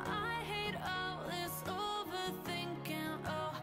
I hate all this overthinking. Oh.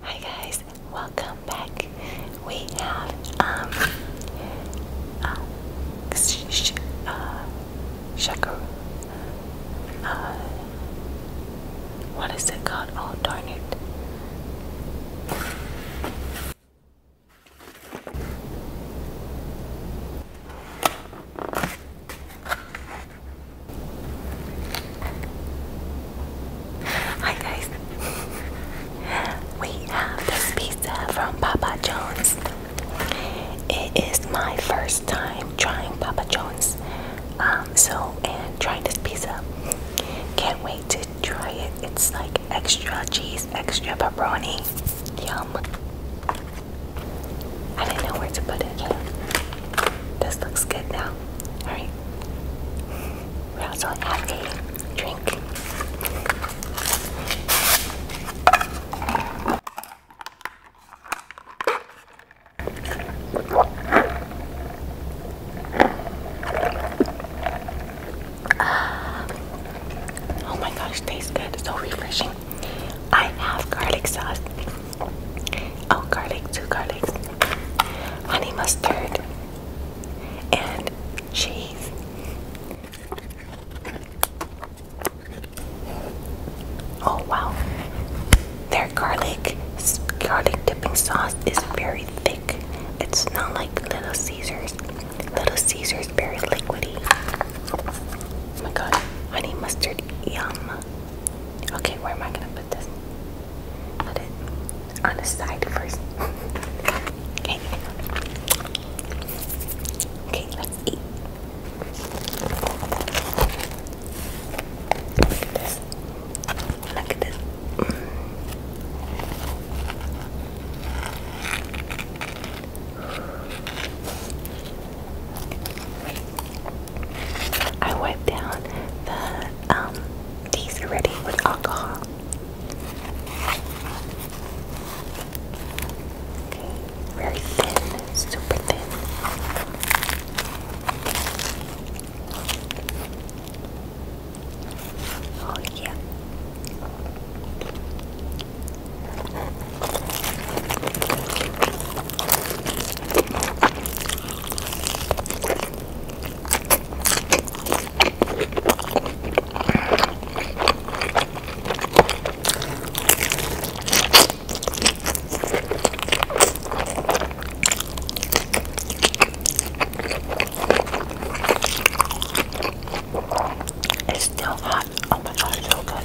Hi guys, welcome back. We have um uh, sh what is it called? Oh, darn it. Hi guys. we have this pizza from Papa John's. It is my first time trying Papa John's. Um, so, and trying this pizza. Can't wait to try it. It's like extra cheese, extra pepperoni. Yum. I didn't know where to put it. Yeah. This looks good now. Alright. We We're also have a drink. Oh my gosh, tastes good. So refreshing. I have garlic sauce. Oh, garlic, two garlics, honey mustard, and cheese. Oh wow garlic garlic dipping sauce is very thick. It's not like Little Caesars. Little Caesars very liquidy. Oh my god, honey mustard, yum. Okay, where am I gonna put this? Put it on the side first. okay. Okay, let's eat. Look at this. Look at this. I wiped down the um these already with alcohol very thin, super thin. Oh yeah. It's still hot. Oh my god, it's so good.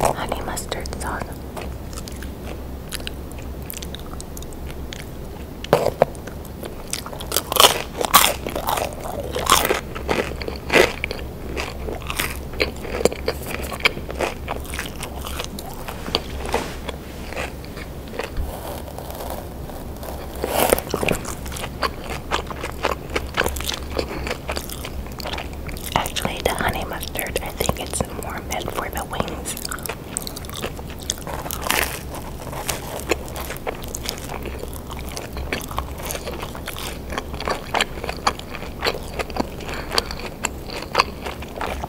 Honey mustard sauce. Actually, the honey mustard, I think it's more meant for the wings.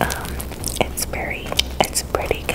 Um, it's very, it's pretty good.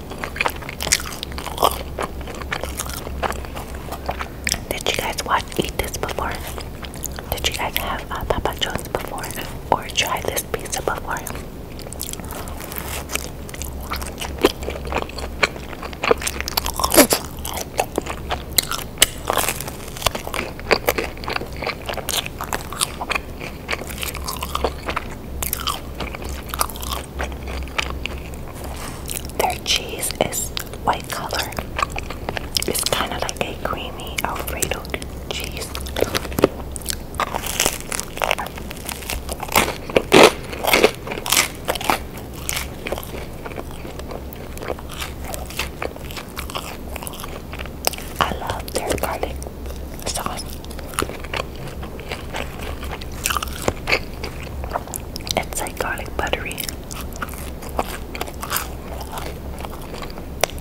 Did you guys watch eat this before? Did you guys have uh, Papa John's before or try this pizza before? Their cheese is white color. It's kind of like a creamy Alfredo cheese. I love their garlic sauce. It's like garlic buttery.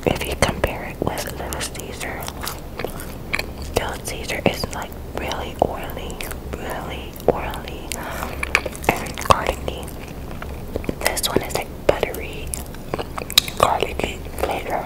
If you compare it with the Caesar, Little Caesar is like really oily, really oily and garlicky. This one is like buttery, garlicky flavor.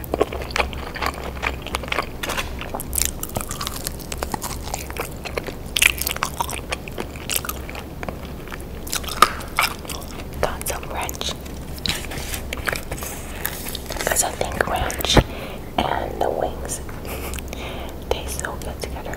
Got some ranch because I think ranch and the wings taste so good together.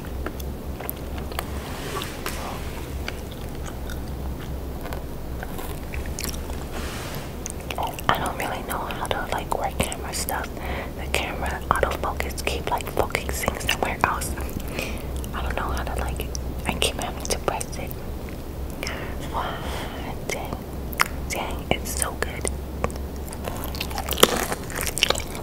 I don't really know how to like wear camera stuff. The camera autofocus keep like focusing somewhere else. I don't know how to like I keep having to press it. Wow, dang, dang, it's so good.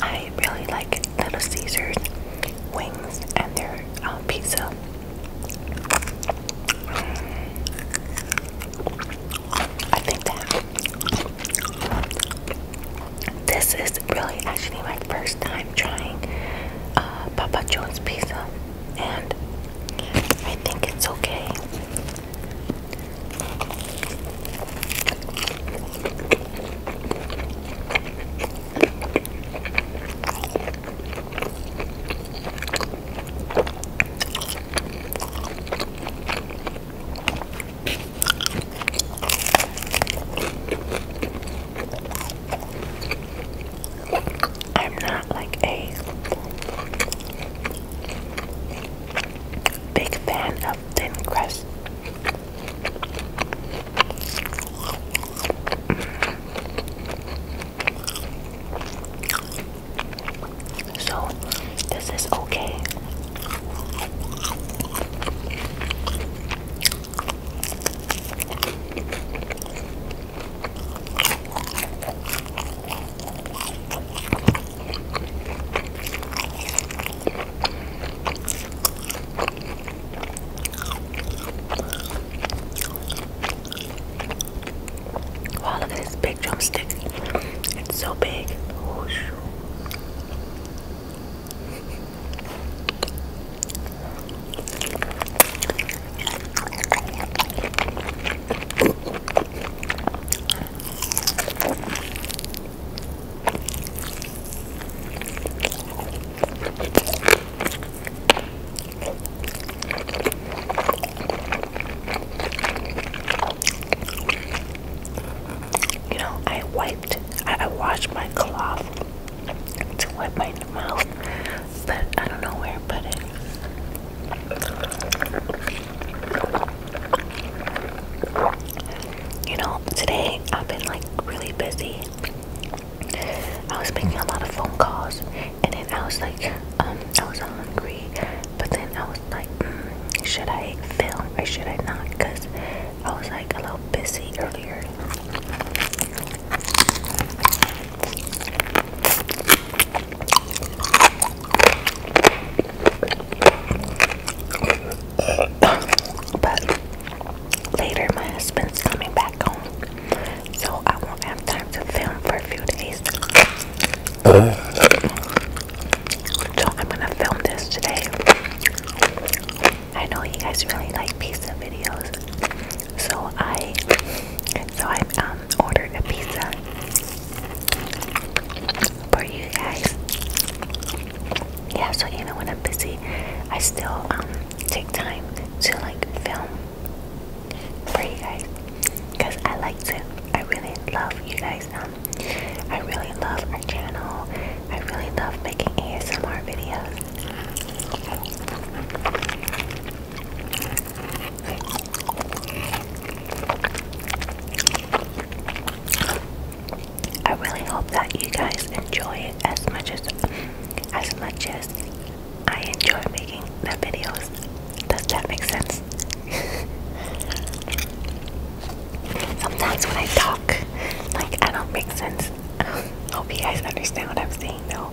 I really like Little Caesars wings and their um, pizza. I think this is really actually my first time trying uh, Papa John's pizza, and I think it's okay. I'm not like a Big fan of thin crust. So, this is okay. Wow, look at this big drumstick. It's so big. Oh, you know, I wiped, I, washed my cloth to wipe my mouth, but I don't know where to put it. You know, today I've been like really busy. I was making a lot of phone calls, and then I was like, um, I was hungry, but then I was like, mm, should I film or should I not? Because I was like a little busy earlier later my husband's coming back home, so I won't have time to film for a few days. So I'm gonna film this today. I know you guys really like pizza videos, so I, so I, um, ordered a pizza for you guys. Yeah, so even when I'm busy, I still um, take time to like film for you guys because I like to. I really love you guys. Um, I really love our channel. I really love making ASMR videos. I really hope that you guys enjoy it as much as as much as I enjoy making the videos. Does that make sense? Sometimes when I talk, like I don't make sense. Hope you guys understand what I'm saying though.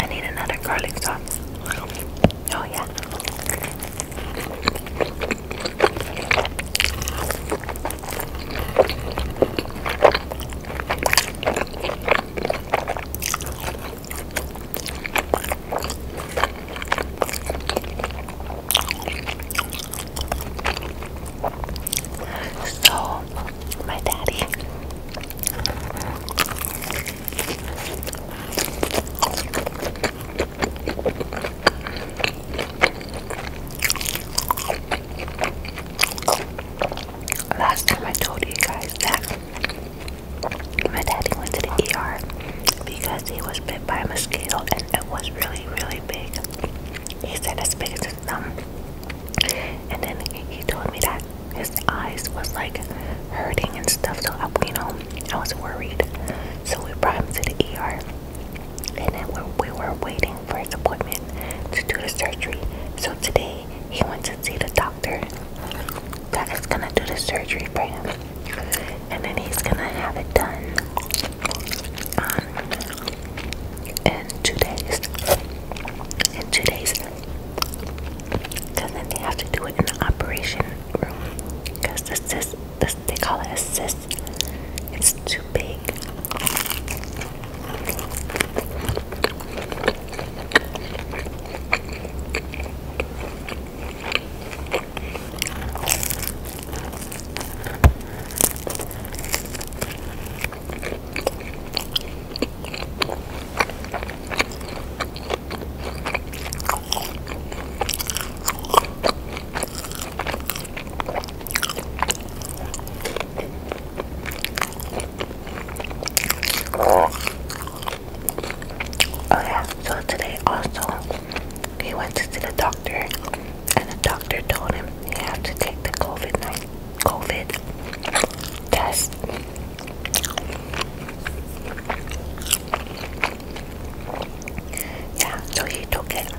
I need another garlic sauce. Oh, yeah. So, my daddy Last time I told you guys that my daddy went to the ER because he was bit by a mosquito and it was really, really big. He said as big as his thumb. And then he told me that his eyes was like hurting and stuff so I, you know I was worried so we brought him to the ER and then we, were waiting for his appointment to do the surgery so today he went to see the doctor that is gonna do the surgery for him and then he's gonna have it done um, in two days in two days Cause then they have to do it in the operation room. Cause the cyst, the, they call it a cyst. It's too big. Oh yeah, so today also he went to see the doctor and the doctor told him he had to take the COVID-19 COVID test. Yeah, so he took it.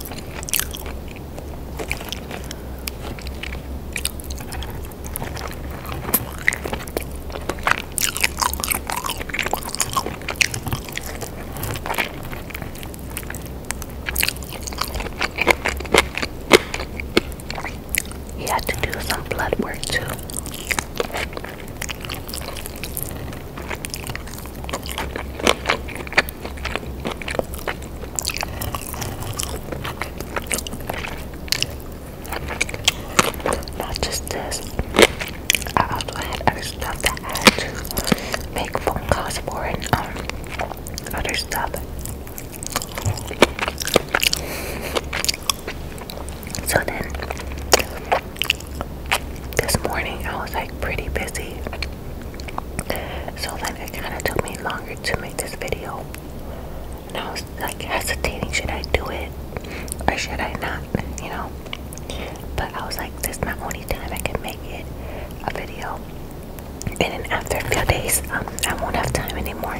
He had to do some blood work too. Not just this. I also had other stuff that I to make phone calls for and um other stuff. So then this morning I was like pretty busy. So like it kind of took me longer to make this video. And I was like hesitating, should I do it or should I not, you know? But I was like, this is my only time I can make it a video and then after a few days, um, I won't have time anymore.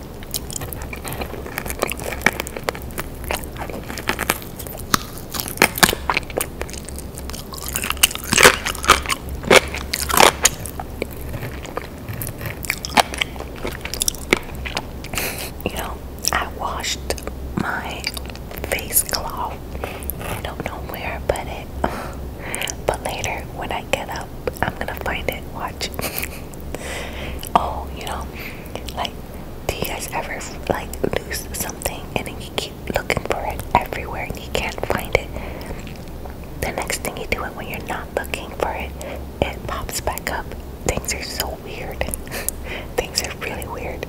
You know, I washed my face cloth. I don't know where, but it. But later, when I get up, I'm gonna find it. Watch. Oh, you know, like, do you guys ever like lose something and then you keep looking for it everywhere and you can't find it? The next thing you do it when you're not looking for it, it pops back up. Things are so weird. Things are really weird.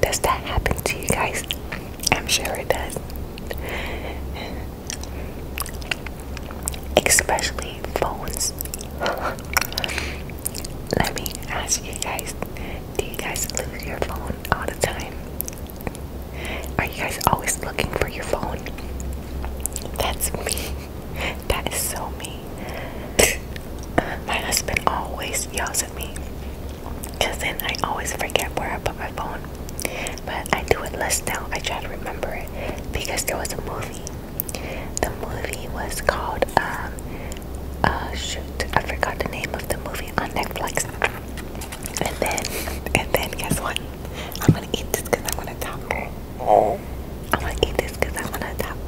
Does that happen to you guys? I'm sure it does especially phones. Let me ask you guys do you guys lose your phone all the time? Are you guys always looking for your phone? That's me. That is so me. my husband always yells at me because then I always forget where I put my phone. But I do it less now. I try to remember it because there was a movie the movie was called, um, uh, shoot, I forgot the name of the movie on Netflix. And then, and then, guess what? I'm gonna eat this because I I'm to top. I'm gonna eat this because I I'm to top.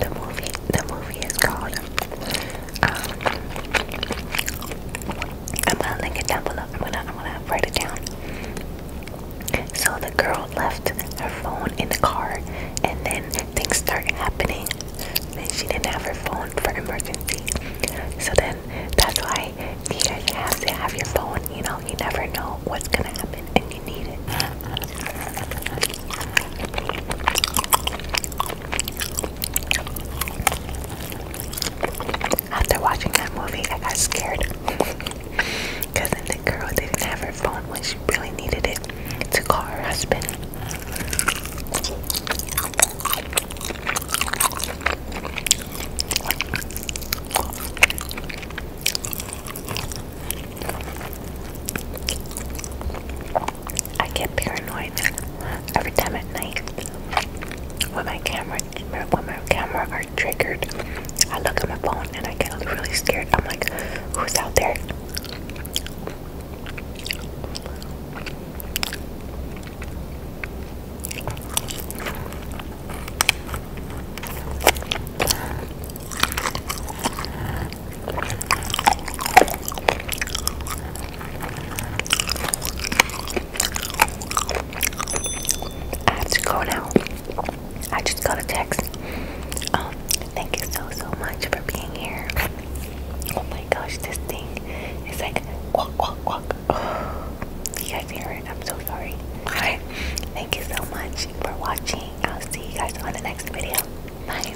The movie, the movie is called um, I'm gonna link it down below. I'm gonna I'm gonna write it down. So the girl left her phone in the car, and then things start happening. and she didn't have her phone for emergency. So then that's why you guys have to have your phone. You know, you never know what's gonna happen, and you need it. After watching that movie, I got scared. Because then the girl didn't have her phone when she really needed it to call her husband. I get paranoid every time at night when my camera when my camera are triggered. I look at my phone and I get really scared. I'm like, who's out there? I have to go now. I just got a text. Um, thank you so so much for being here. Oh my gosh, this thing is like quack quack quack. you guys hear it? I'm so sorry. Alright, thank you so much for watching. I'll see you guys on the next video. Bye.